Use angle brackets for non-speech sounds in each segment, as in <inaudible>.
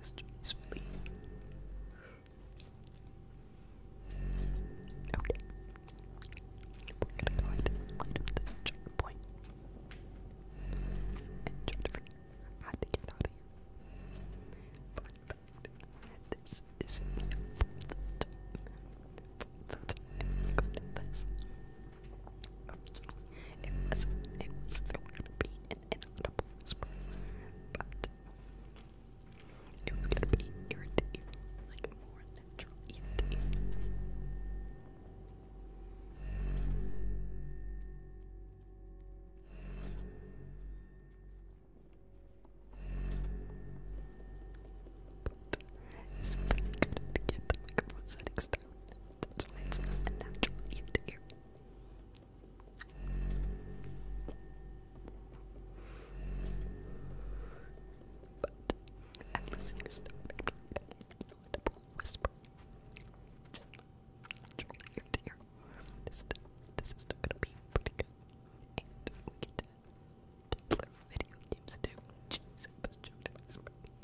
This journey's free. Okay. We're gonna go ahead and light up this checkpoint. And try to figure to get out of here. this is the fourth time. Fourth time I've got this. It was, it was still gonna be an inaudible whisper, but it was gonna be ear like more natural ear to good to get the microphone settings that's why it's not a natural eighth ear. But at least you're still audible whisper. Just natural ear to ear. This, is still gonna be pretty good. And we get to play video games too. Jeez, I was joking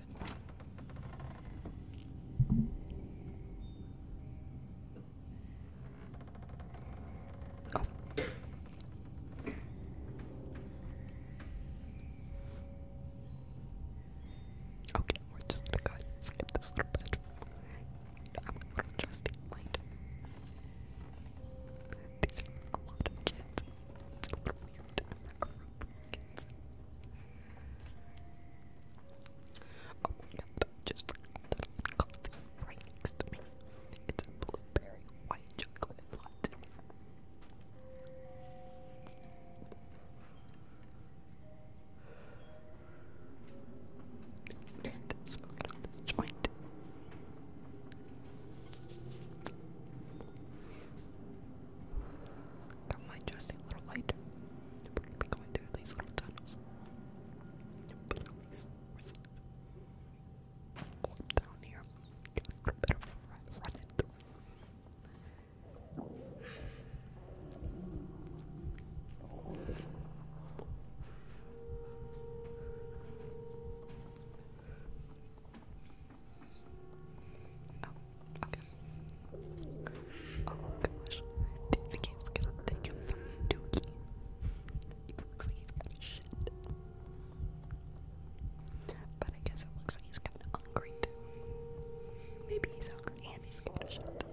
Oh. Okay, we're just gonna go ahead skip this little bit. I'm gonna just mind. a little weird. Oh, no, just for coffee right next to me. It's a blueberry white chocolate latte. i smoking on this joint. Got my just a little light. We're gonna be going through these little tunnels. But at least we're down here. Get a bit of run it through. Oh, Okay. Oh gosh. The game's gonna take him from Dookie. looks like he's got shit. But I guess it looks like he's kind of hungry Maybe he's hungry and he's got shit.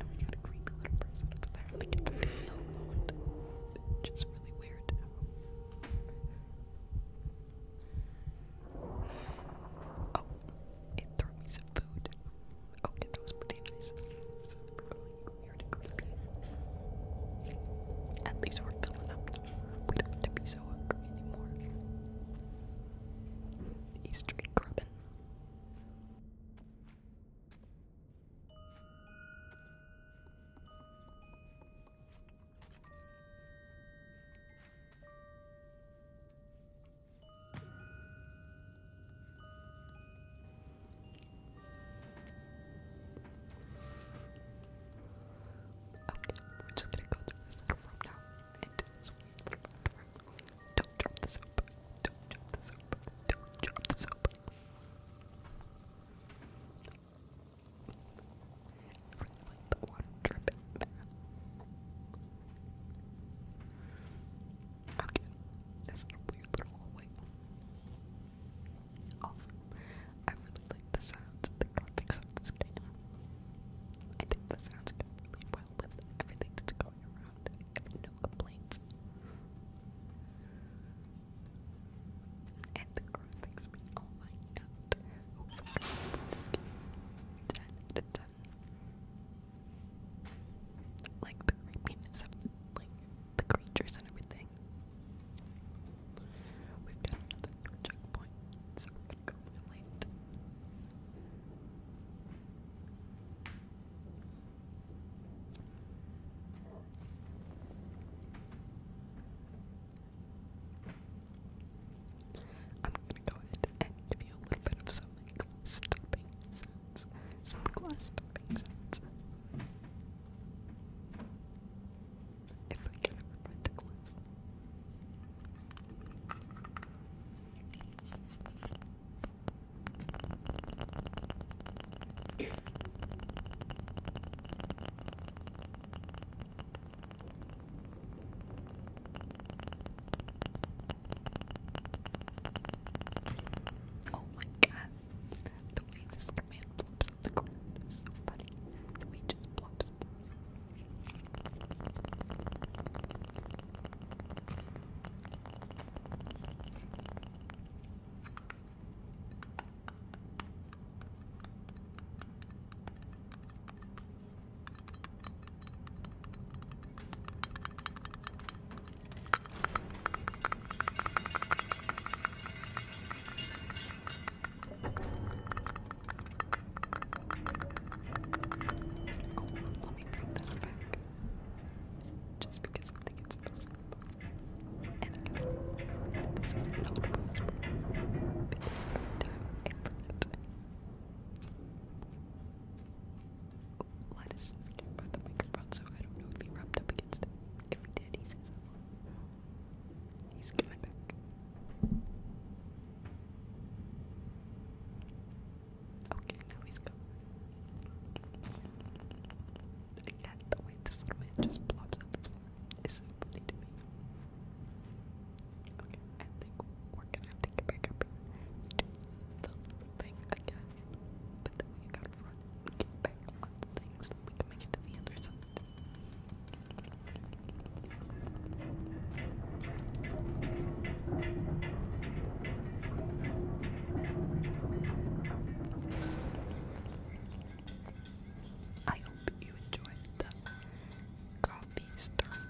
And we got a creepy little person up there. Like, it's really alone. Which is really weird. Oh, it threw me some food. Okay, that was pretty So really weird and creepy. At least we're filling up. We don't have to be so hungry anymore. He's straight grubbing. Okay, we're just gonna go through this out from now and sweep the bathroom. Don't drop the soap. Don't drop the soap. Don't drop the soap really like the water dripping Okay, this weird little hallway. Also, I really like the sounds the graphics of this game. I think the sounds go really well with everything that's going around. I have no complaints. And the graphics, I mean, my god ten ten. Like the creepiness of like the creatures and everything. We've got another checkpoint, so we're gonna go really I'm gonna go ahead and give you a little bit of some glass tapping sounds. Some glass tapping sounds. If I can ever find glass. Oh my god, the way this command plops on the ground is so funny. The way it just plops. Oh, let me bring this back. Just because I think it's possible. And I know this is not possible. Because every time I flip that. Let us just get by the microphone so I don't know if he rubbed up against it. If he did, he says hello. He's coming back. Okay, now he's gone. I can't wait, this little man just plops on the floor. It's so funny to me. I think we're gonna have to get back up and do the thing again. But then we gotta run and get back on the we can make it to the other side. I hope you enjoyed the coffee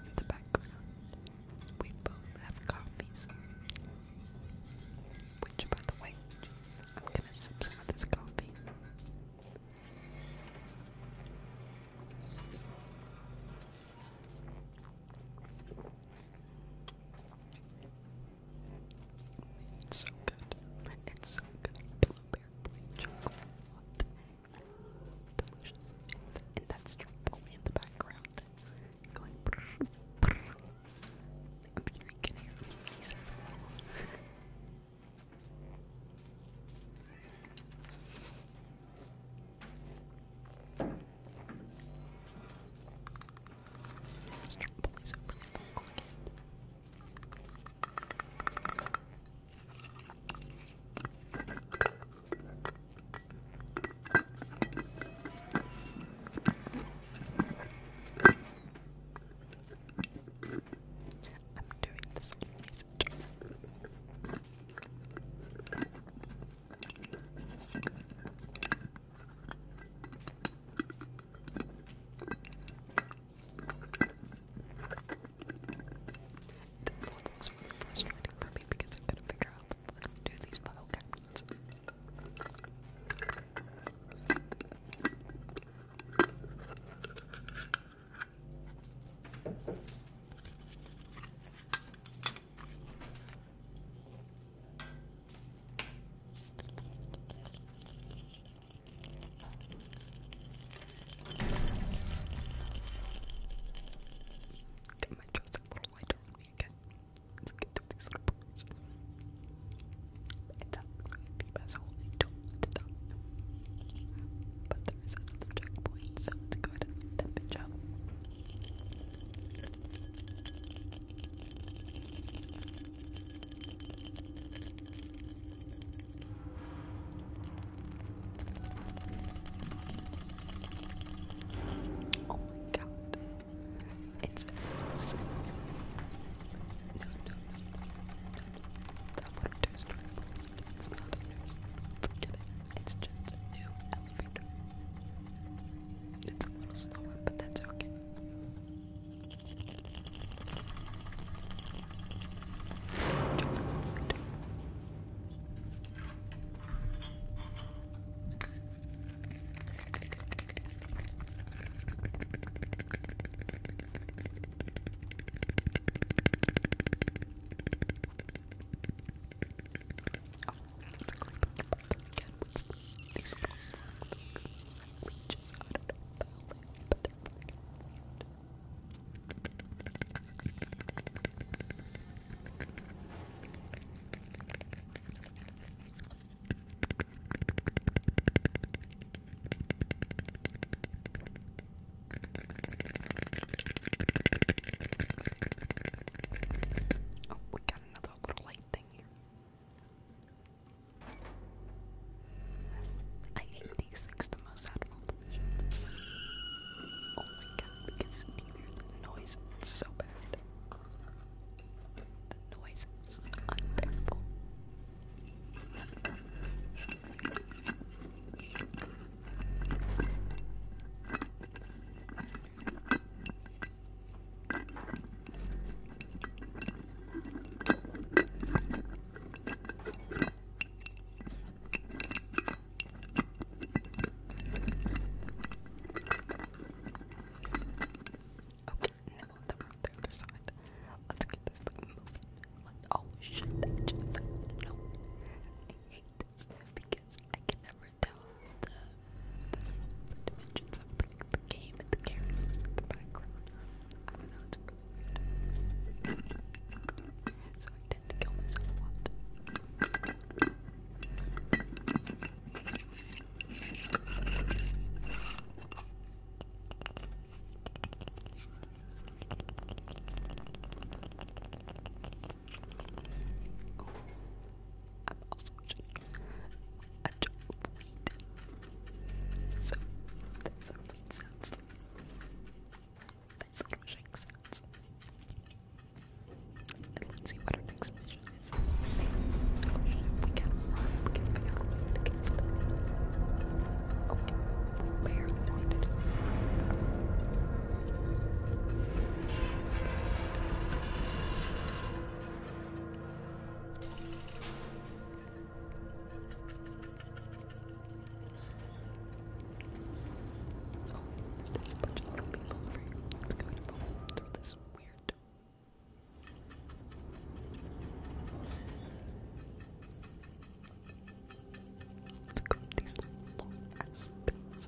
in the background. We both have coffees. Which, by the way, I'm gonna sip some this coffee. It's so good. It's so good. Blueberry chocolate Delicious. And that's tropical in the background. Going I'm sure you can hear me. police are really I'm doing this research. That's one of those really frustrating for me because I've got to figure out how to do these bottle Get my chest a little lighter again. Let's get to these slippers. And that looks like a deep asshole. I don't want to die. But there is another checkpoint, so let's go ahead and light Oh my god. It's awesome. That one two story It's not a news. Forget it. It's just a new elevator. It's a little slower, but that's okay. These little snakes, like leeches, I don't know, but they're really weird. Oh, we got another little light thing here. I hate these things the most Oh my god, because the noise is so bad. The noise is unbearable. Okay, now on the, the other side. Let's get this moving. oh shit, I just no. I hate this because I can never tell the, dimensions of the, game and the characters in the background. I don't know, it's so I tend to kill myself a I'm also drinking a jar So, that's some weed sounds. Basically makes sense. And let's see what our next mission is. Oh, we can We can figure out a way to get oh, we barely made it. Oh, there's a bunch of little people over here. Let's go to boom through this weird door. Let's go with these long ass things.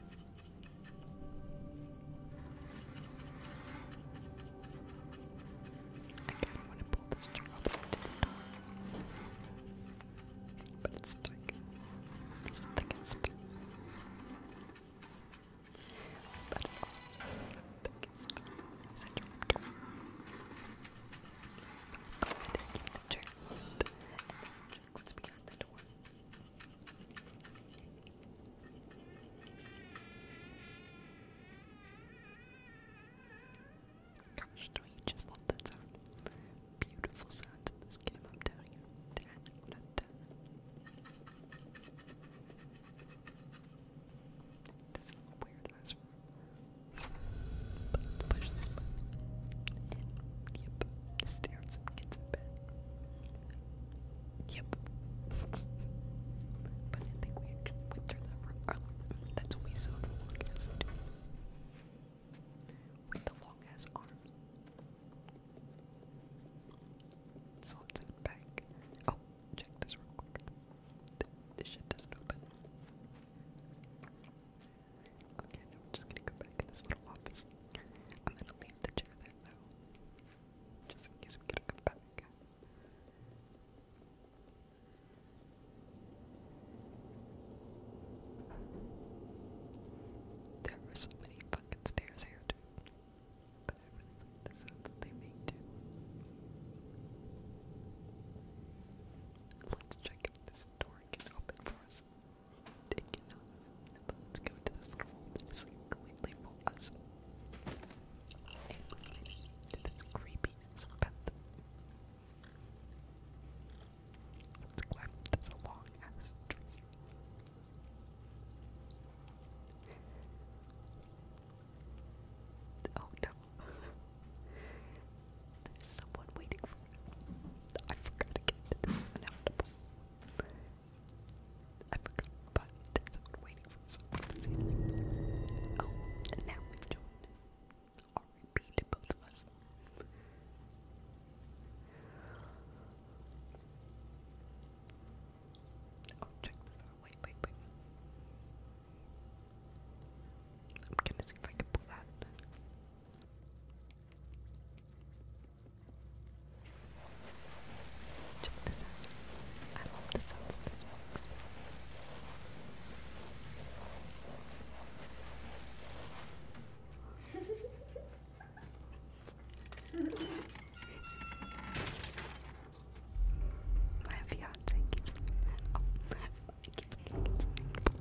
I kind of want to pull this job but it's stuck. This thing is stuck. But it also says that the thing is stuck. It's a chapter. So I'm going to keep the check and the check what's behind the door. Gosh, don't you just love that sound? Beautiful sounds in this game, I'm telling you. 10 out of 10. This is a weird ass room. But let's push this button. And, yep, stay Yep. but I think we went through that room. that's when we saw long ass dude. the long ass arms. back. Oh, check this real quick. this shit doesn't open. Okay, now I'm just gonna go back in this little office. I'm gonna leave the chair there though. Just in case we got back. There were so many fucking stairs here too. But I really like the sounds that they make too. Let's check if this door can open for us let's go to the scroll that is completely for us. To Let's climb this long ass Oh no. There's someone waiting for I forgot again this is inevitable. I forgot, but there's someone waiting for someone to say anything. Oh, now we've joined. R.E.P. to both of us. Oh, check this out. Wait, wait, wait. I'm gonna see if I can pull that. Check this out. I love the sounds of this box. <laughs> My fiance keeps oh, my fiance keeps laughing in the background.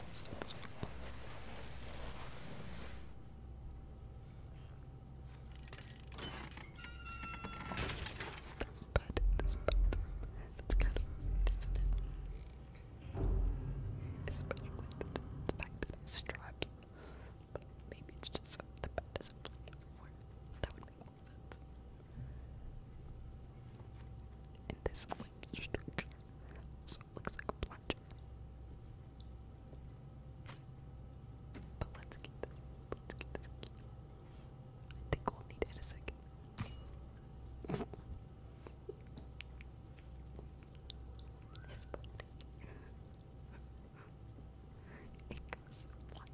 bad in this bathroom. That's kind of isn't it? the fact that it's stripes. maybe it's just so the bed does That would make sense. And this so it looks like a plunge. But let's get this. Let's get this I think we'll need it a second. His body. it goes flat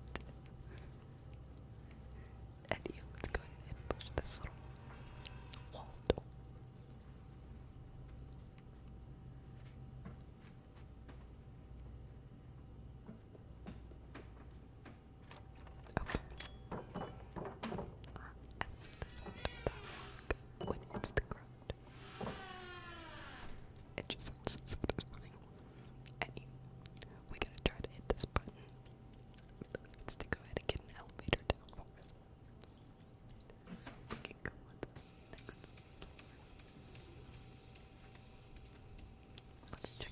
idea. Let's go ahead and push this little wall door. Okay. I uh, like the that rock when the ground. It just sounds satisfying. Anyway, we gotta try to hit this button it's to go ahead and get an elevator down for us. Let's check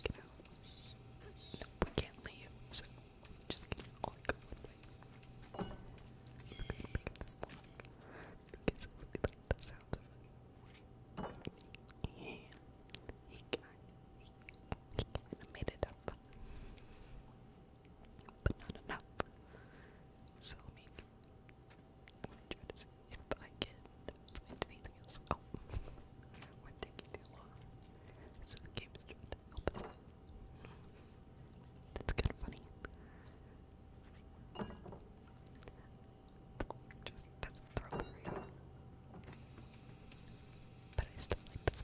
it out. No, we can't leave, so just gonna go one way. I'm just gonna pick this lock because I Yeah, I made it up. But not enough. So let me, try to see if I can find anything else. Oh, we're taking too So the game is trying to It's kind of funny. Just doesn't throw me. But I still like this.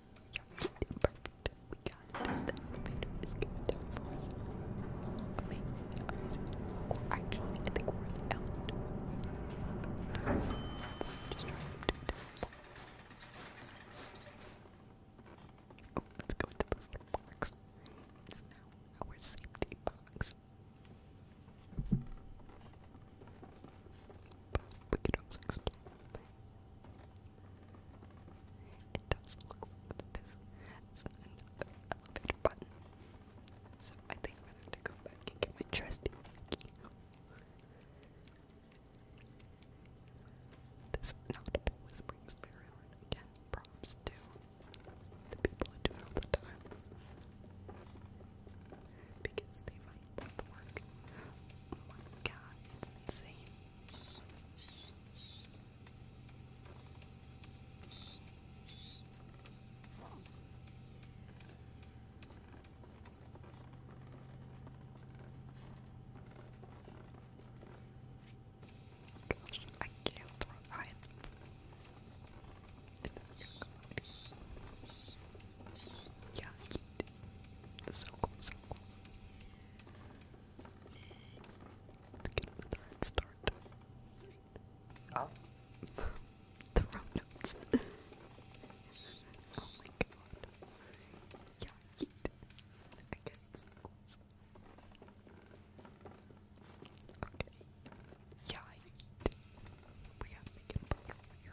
Perfect. We got it. This painter is gonna do Amazing, actually, I think we're in let's go into this little box. It's now our safety box. we can also explore it does look like this So I think i have to go back and get my trusty This inaudible whispering is very hard. Again, props to the people who do it all the time. Because they paperwork. Oh my god, it's insane. Gosh, I can't throw it. It's yeah, So close, so close. Let's get him the red Oh. the wrong notes. <laughs> oh my god. Yeah, Yeah, We gotta make it a here.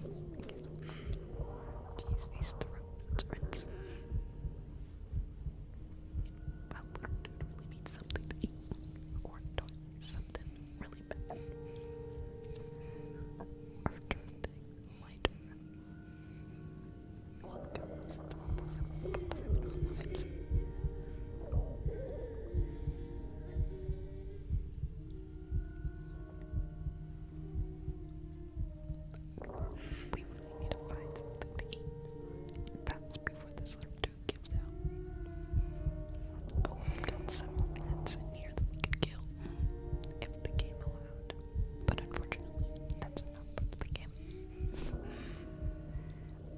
Jeez, these throat rinse. That little something to eat or something really bad. After being lighter, what goes on lives? We really need to find something to eat. Perhaps before this little dude gives out. Oh, we've got several minutes in here that we can kill if the game allowed. But unfortunately, that's enough the game.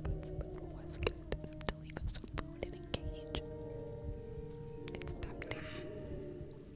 but <laughs> someone was good enough to leave us some food in a cage. It's tempting.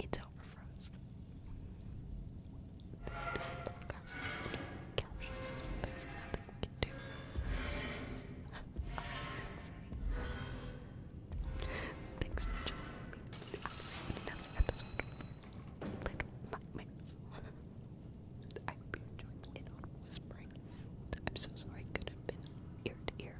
It's over froze. there's nothing we can do. <laughs> Thanks for joining me. I'll see you in another episode Little Nightmares. <laughs> I hope you enjoyed the inaudible whispering. I'm so sorry it could have been ear to ear.